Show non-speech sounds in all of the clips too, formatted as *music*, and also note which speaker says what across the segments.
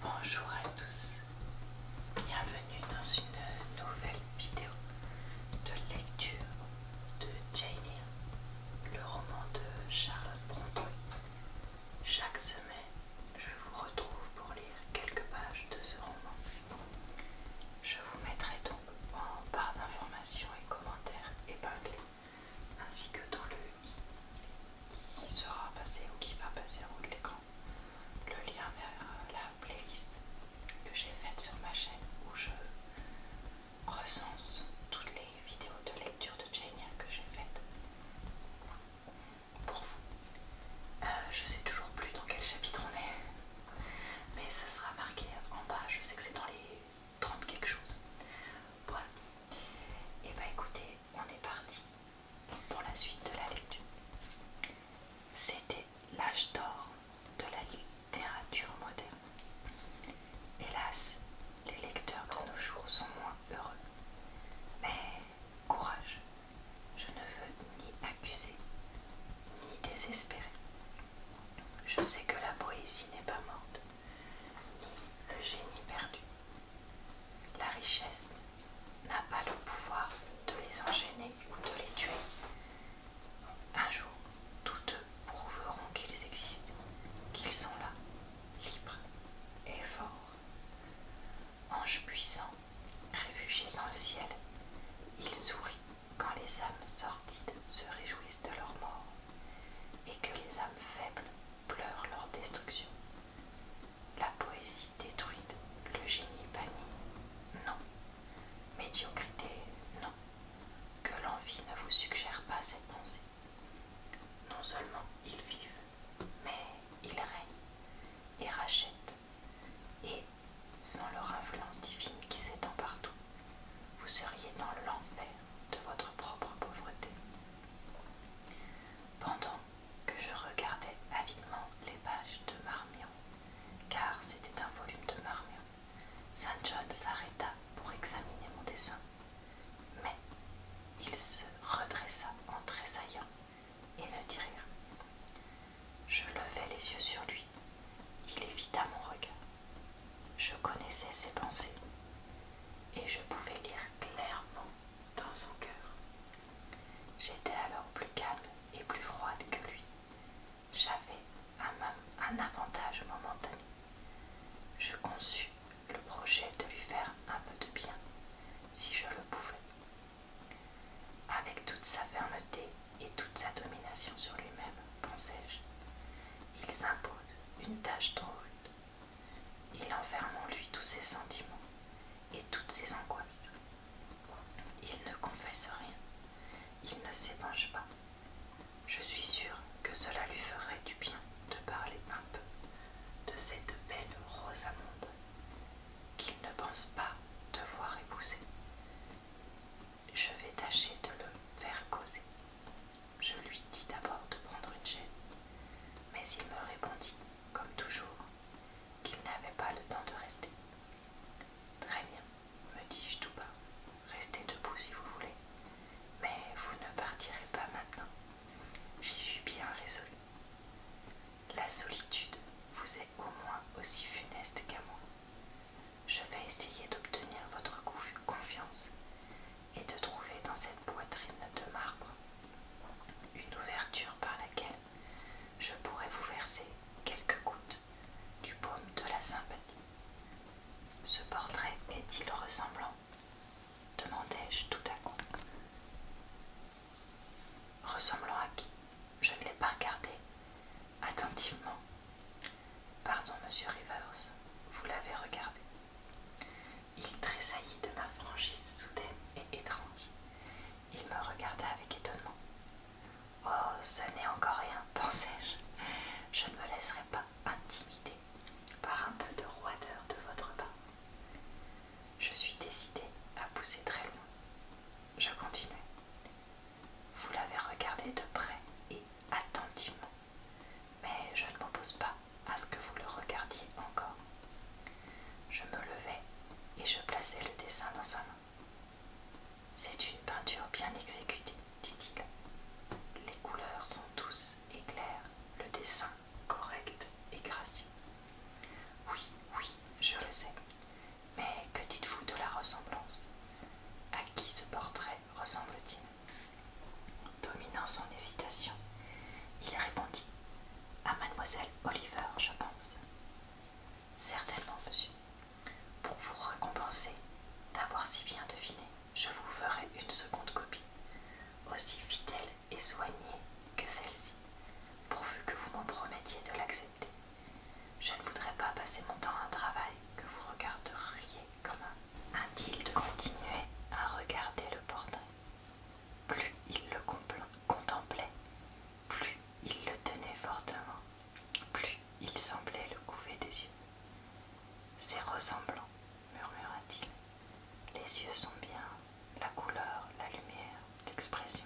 Speaker 1: Bonjour à tous, bienvenue dans une nouvelle vidéo de lecture de Jane le roman de Charlotte Brontë. Chaque semaine, je vous retrouve pour lire quelques pages de ce roman. Je vous mettrai donc en barre d'informations et commentaires épinglés, ainsi que dans le qui sera passé ou qui va passer en haut de l'écran le lien vers euh, la playlist que j'ai faite sur ma chaîne où je recense toutes les vidéos de lecture de jenya que j'ai faites pour vous. Euh, je sais toujours plus dans quel chapitre on est, mais ça sera marqué en bas. Je sais que c'est dans les 30 quelque chose. Voilà. Et eh bah ben, écoutez, on est parti pour la suite de la lecture. C'était l'âge d'or de la littérature moderne. Hélas, les lecteurs de nos jours sont moins heureux. Mais courage, je ne veux ni accuser, ni désespérer. Je sais que la poésie n'est pas morte, ni le génie perdu. La richesse n'a pas le pouvoir de les enchaîner ou de les tuer. Un jour, tous deux prouveront qu'ils existent, qu'ils sont là, libres et forts. Ange puissant, réfugiés dans le ciel, il sourit quand les âmes sordides se réjouissent de leur mort et que les âmes faibles pleurent leur destruction. La poésie détruite, le génie banni, non. Médiocrité, non. Que l'envie ne vous suggère pas cette pensée. Non seulement ils vivent, mais ils règnent et rachètent. Et, sans leur influence divine qui s'étend partout, vous seriez dans l'enfer de votre propre pauvreté. Pendant que je regardais avidement les pages de Marmion, car c'était un volume de Marmion, Saint John s'arrêta pour examiner mon dessin. Mais il se redressa en tressaillant et ne dit rien. Je levai les yeux sur lui. Il évita mon regard. Je connaissais ses pensées et je pouvais lire clairement dans son cœur. J'étais alors plus calme et plus froide que lui. J'avais un, un avantage momentané. Je conçus le projet de lui faire un peu de bien, si je le pouvais. Avec toute sa fermeté et toute sa domination sur lui-même, pensais-je, il s'impose une tâche drôle. Il enferme en lui tous ses sentiments et toutes ses angoisses. Il ne confesse rien, il ne s'épanche pas. Je suis sûre que cela lui ferait du bien de parler un peu de cette belle Rosamonde qu'il ne pense pas devoir épouser. Je vais tâcher de le faire causer. Je lui dis d'abord de prendre une chaîne, mais il me répondit comme toujours, qu'il n'avait pas le temps de rester. Très bien, me dis-je tout bas, restez debout si vous voulez, mais vous ne partirez pas maintenant. J'y suis bien résolue. La solitude vous est au moins aussi funeste qu'à moi. Je vais essayer d'obtenir votre confiance et de trouver dans cette poitrine de marbre une ouverture par laquelle je pourrais vous verser quelques gouttes du baume de la sympathie. Ce portrait est-il ressemblant demandai-je tout à coup. Ressemblant à qui Je ne l'ai pas regardé attentivement. Pardon, monsieur Rivers, vous l'avez regardé. Il tressaillit de ma franchise soudaine et étrange. Il me regarda avec étonnement. Oh, ce n'est encore rien, pensai-je. Je ne me laisserai pas intimider par un peu de roideur de votre part. Je suis décidée à pousser très loin. Je continuai. Vous l'avez regardé de près et attentivement, mais je ne m'oppose pas à ce que vous le regardiez encore. Je me levai et je plaçais le dessin dans sa main. C'est une peinture bien exécutée, dit-il. Les couleurs sont douces et claires, le dessin correct et gracieux. Oui, oui, je le sais. Mais que dites-vous de la ressemblance À qui ce portrait ressemble-t-il Dominant son hésitation, il répondit à mademoiselle Oliver, je pense. Certainement, monsieur. Pour vous récompenser d'avoir si bien deviné, je vous ferai une seconde copie, aussi fidèle et soignée que celle-ci, pourvu que vous m'en promettiez de l'accepter. Je ne voudrais pas passer mon temps à un travail que vous regarderiez comme un. Inutile de continuer à regarder le portrait. Plus il le contemplait, plus il le tenait fortement, plus il semblait le couver des yeux. C'est ressemblant, murmura-t-il. Les yeux sont bien, la couleur, la lumière, l'expression.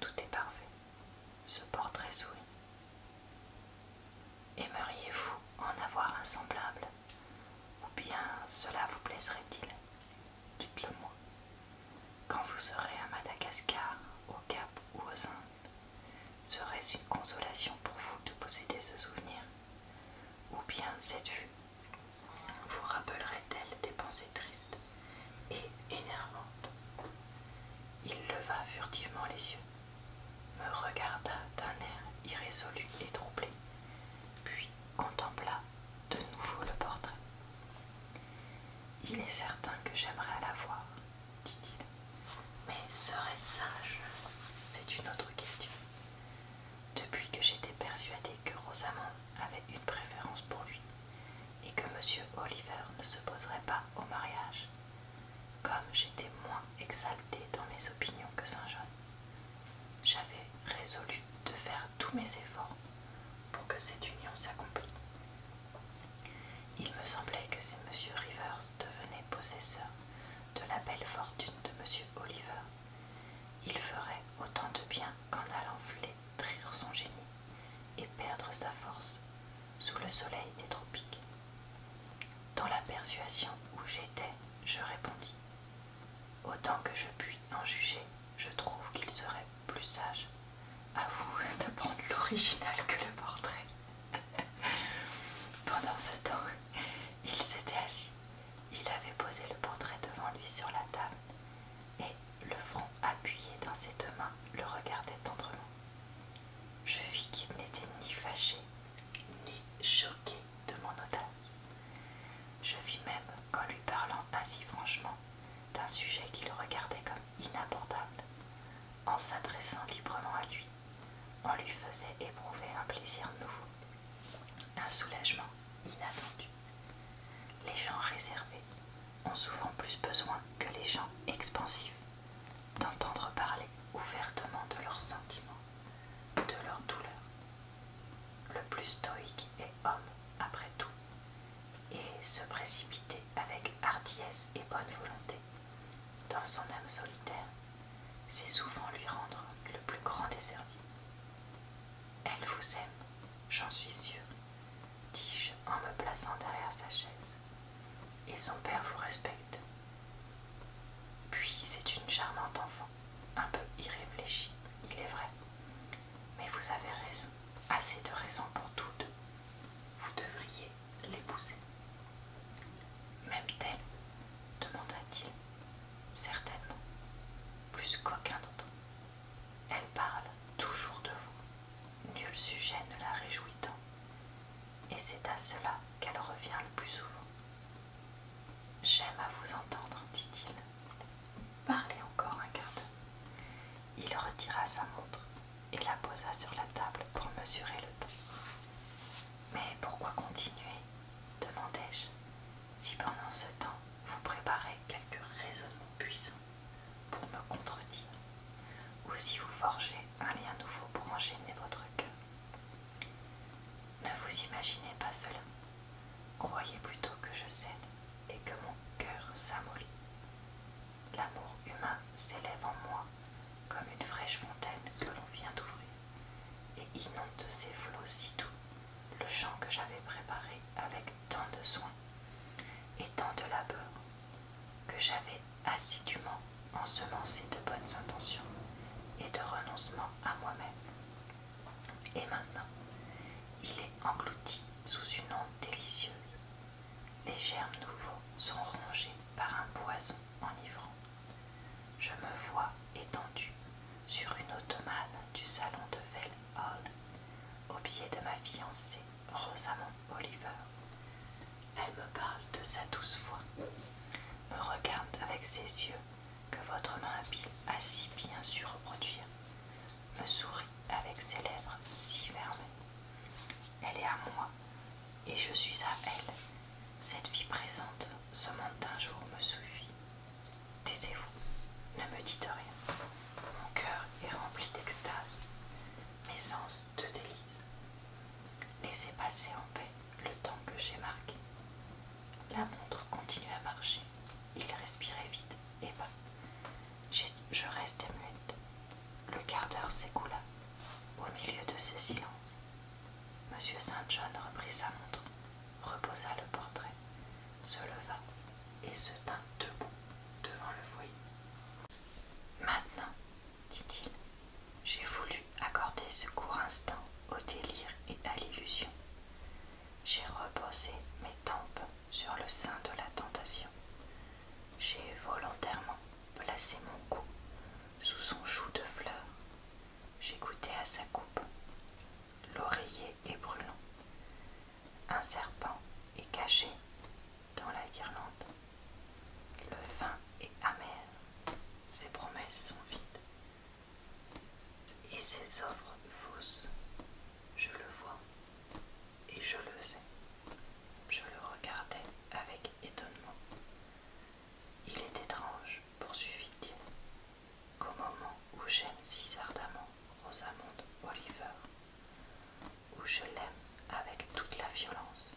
Speaker 1: Tout est parfait. Ce portrait sourit. Aimeriez-vous en avoir un semblable ou bien cela vous plaiserait-il Dites-le moi. Quand vous serez à Madagascar, au Cap ou aux Indes, serait-ce une consolation pour vous de posséder ce souvenir Ou bien cette vue vous rappellerait-elle des pensées tristes et énervantes Il leva furtivement les yeux, me regarda d'un air irrésolu et troublé, puis contempla de nouveau le portrait. Il est certain que j'aimerais la voir, dit-il. Mais serait-ce sage C'est une autre question. Depuis que j'étais persuadée que Rosamond avait une préférence pour lui et que Monsieur Oliver ne se poserait pas au mariage, comme j'étais moins exaltée dans mes opinions que Saint-Jean, j'avais résolu de faire tous mes efforts pour que cette union s'accomplisse. Il me semblait que si M. Rivers devenait possesseur de la belle fortune de M. Oliver, il ferait autant de bien qu'en allant flétrir son génie et perdre sa force sous le soleil des tropiques. Dans la persuasion où j'étais, je répondis Autant que je puis en juger, je trouve qu'il serait plus sage à vous *laughs* de prendre l'original que le portrait. *laughs* Pendant ce temps, il s'était assis. Il avait posé le portrait devant lui sur la table et, le front appuyé dans ses deux mains, le regardait tendrement. Je vis qu'il n'était ni fâché, ni choqué de mon audace. Je vis même qu'en lui parlant ainsi franchement d'un sujet qu'il regardait comme inabordable, en s'adressant librement à lui, on lui faisait éprouver un plaisir nouveau, un soulagement inattendu. Les gens réservés ont souvent plus besoin que les gens expansifs d'entendre parler ouvertement de leurs sentiments, de leurs douleurs le plus stoïque est homme après tout, et se précipiter avec hardiesse et bonne volonté dans son âme solitaire, c'est souvent lui rendre le plus grand des services. Elle vous aime, j'en suis sûr, dis-je en me plaçant derrière sa chaise, et son père vous respecte. Puis c'est une charmante enfant un peu irréfléchi, il est vrai. Mais vous avez raison, assez de raison pour toutes. Vous devriez l'épouser. Même t elle demanda-t-il. Certainement, plus qu'aucun autre. Elle parle toujours de vous, nul sujet ne la réjouit tant. Et c'est à cela qu'elle revient le plus souvent. J'aime à vous entendre, dit-il. Parlez encore un quart Il retira sa montre et la posa sur la table pour mesurer le temps. Mais pourquoi continuer demandai-je. Si pendant ce temps vous préparez quelques raisonnements puissants pour me contredire, ou si vous forgez un lien nouveau pour enchaîner votre cœur. Ne vous imaginez pas cela, Croyez plutôt que je cède et que mon cœur s'amollit. L'amour humain s'élève en moi comme une fraîche fontaine que l'on vient d'ouvrir et inonde ses flots si doux le champ que j'avais préparé avec tant de soins et tant de labeur que j'avais assidûment ensemencé de bonnes intentions et de renoncement à moi-même. Et maintenant, il est englouti sous une onde délicieuse. Les germes nouveaux sont rongés par un poison enivrant. Je me vois étendue sur une ottomane du salon de Vell au biais de ma fiancée Rosamond Oliver. Elle me parle de sa douce voix, me regarde avec ses yeux que votre main habile a si bien su reproduire, me sourit avec ses lèvres si fermées. Elle est à moi, et je suis à elle. Cette vie présente, ce monde d'un jour me suffit. Taisez-vous, ne me dites rien. Mon cœur est rempli d'extase, mes sens de délices. Laissez passer en paix le temps que j'ai marqué. La montre continue à marcher. Il respirait vite et bas. Je restais muette. Le quart d'heure s'écoula. Au milieu de ce silence, M. Saint John reprit sa montre, reposa le portrait, se leva et se tint debout devant le foyer. Maintenant, dit-il, j'ai voulu accorder ce court instant au délire et à l'illusion. J'ai reposé mes tempes sur le sein de la tentation. J'ai volontairement placé mon cou sous son chou de fleurs. J'ai goûté à sa coupe. L'oreiller est brûlant. Un serpent est caché dans la guirlande. Le vin est amer. Ses promesses sont vides. Et ses offres fausses, je le vois et je le sais. Je le regardais avec étonnement. Il est étrange, poursuivit-il, qu'au moment où j'aime si ardemment Rosamond Oliver, où je l'aime avec toute la violence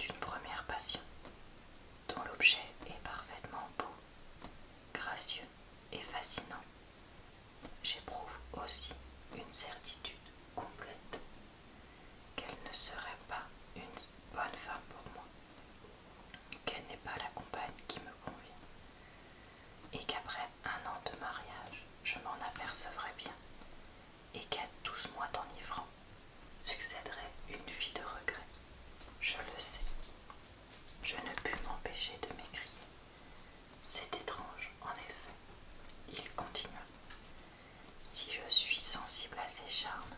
Speaker 1: d'une première passion, dont l'objet est parfaitement beau, gracieux et fascinant. J'éprouve aussi une certitude complète qu'elle ne serait pas une bonne femme pour moi, qu'elle n'est pas la compagne qui me convient, et qu'après un an de mariage, je m'en apercevrai bien, et qu'à douze mois d'enivrant, succéderait une vie de regrets. Je le sais. Je ne pus m'empêcher de m'écrier. C'est étrange, en effet. Il continua. Si je suis sensible à ses charmes,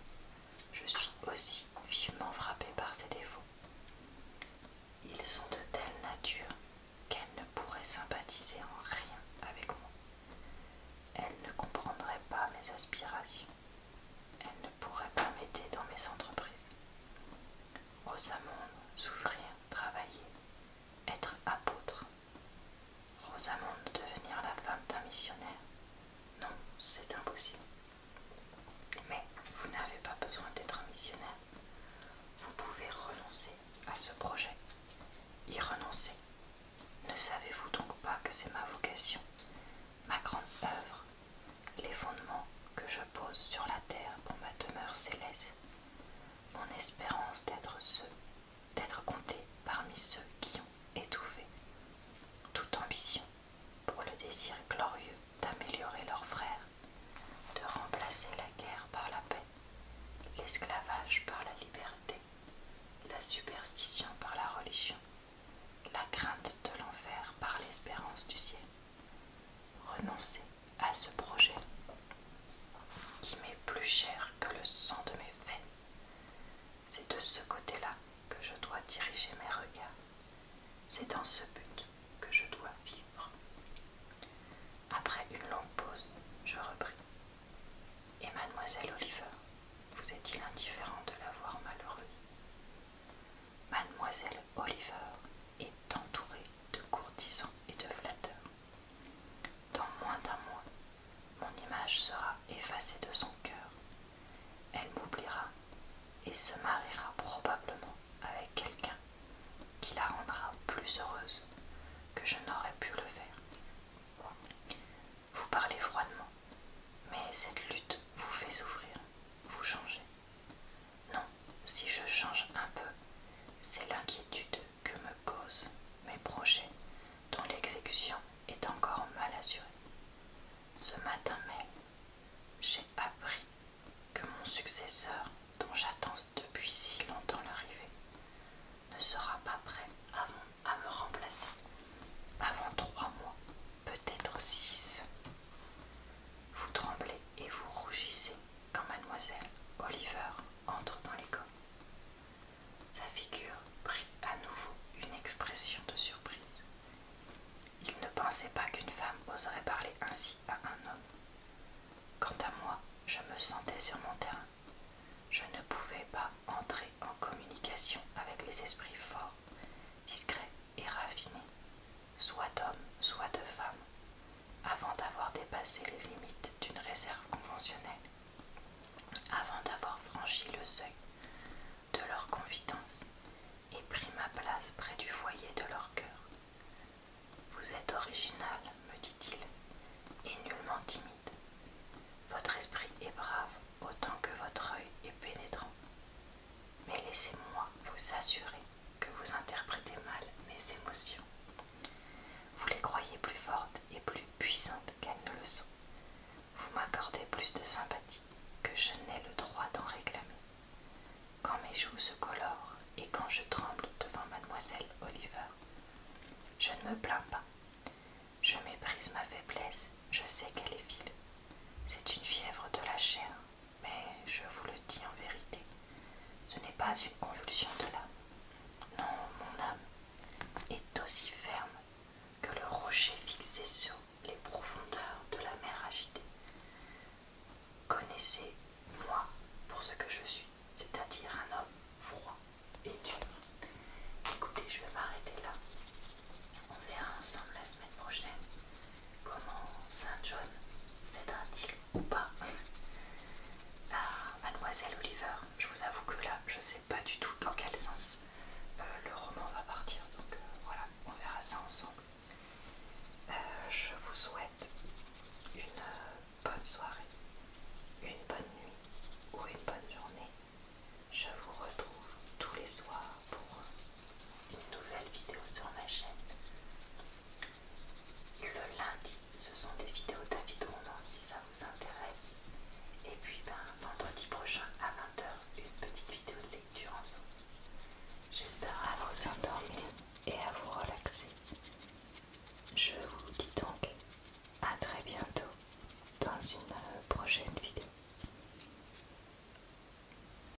Speaker 1: je suis aussi vivement frappée par ses défauts. Ils sont de telle nature qu'elle ne pourrait sympathiser en rien avec moi. Elle ne comprendrait pas mes aspirations. Elle ne pourrait pas m'aider dans mes entreprises. Rosamonde, souffrir, travailler, être apôtre. Rosamonde, devenir la femme d'un missionnaire. Non, c'est impossible. Mais vous n'avez pas besoin d'être un missionnaire. Vous pouvez renoncer à ce projet. Y renoncer. Ne savez-vous donc pas que c'est ma vocation, ma grande œuvre les fondements que je pose sur la terre pour ma demeure céleste, mon espérance d'être ceux, d'être compté parmi ceux qui ont étouffé toute ambition pour le désir glorieux d'améliorer leurs frères, de remplacer la guerre par la paix, l'esclavage par la liberté, la superstition par la religion, la crainte de l'enfer par l'espérance du ciel renoncer à ce projet qui m'est plus cher que le sang de mes veines. C'est de ce côté-là que je dois diriger mes regards. C'est dans ce but que je dois vivre. Après une longue pause, je repris. Et mademoiselle Oliver, vous est-il indifférent de la voir malheureuse Mademoiselle Oliver est entourée de courtisans et de flatteurs. Dans moins d'un mois, mon image sera effacée de son cœur. Elle m'oubliera et se mariera probablement avec quelqu'un qui la rendra plus heureuse que je n'aurais pu le faire. Vous parlez froidement, mais cette lutte vous fait souffrir, vous changez. Non, si je change un peu, c'est l'inquiétude que me causent mes projets dont l'exécution est encore mal assurée. Ce matin même, j'ai appris que mon successeur, dont j'attends depuis si longtemps l'arrivée, ne sera pas prêt à me remplacer avant trois mois peut-être six. Vous tremblez et vous rougissez quand mademoiselle Oliver entre dans l'école. Sa figure prit à nouveau une expression de surprise. Il ne pensait pas qu'une femme oserait parler ainsi à un homme. Quant à moi, je me sentais sur mon terrain. Je ne pouvais pas entrer en communication avec les esprits forts, discrets et raffinés soit homme, soit de femme, avant d'avoir dépassé les limites d'une réserve conventionnelle, avant d'avoir franchi le seuil de leur confidence et pris ma place près du foyer de leur cœur. Vous êtes original, me dit-il, et nullement timide. Votre esprit est brave autant que votre œil est pénétrant. Mais laissez-moi vous assurer que vous interprétez mal mes émotions. Vous les croyez plus fortes et plus puissantes qu'elles ne le sont. Vous m'accordez plus de sympathie que je n'ai le droit d'en réclamer. Quand mes joues se colorent et quand je tremble devant mademoiselle Oliver, je ne me plains pas. Je méprise ma faiblesse, je sais qu'elle est vile. C'est une fièvre de la chair mais je vous le dis en vérité, ce n'est pas une convulsion de l'âme. Non, mon âme est aussi ferme que le rocher fixé sur les profondeurs de la mer agitée. Connaissez-moi pour ce que je suis, c'est-à-dire un homme froid et dur. Écoutez, je vais m'arrêter là. On verra ensemble la semaine prochaine comment Saint John s'éteint-il ou pas mademoiselle Oliver, je vous avoue que là, je ne sais pas du tout dans quel sens euh, le roman va partir, donc euh, voilà, on verra ça ensemble. Euh, je vous souhaite une bonne soirée, une bonne nuit ou une bonne journée. Je vous retrouve tous les soirs pour une nouvelle vidéo sur ma chaîne. Le lundi, ce sont des vidéos de Roman si ça vous intéresse. Et puis ben, vendredi prochain à 20h, une petite vidéo de lecture ensemble. J'espère à vous endormir et à vous relaxer. Je vous dis donc à très bientôt dans une euh, prochaine vidéo.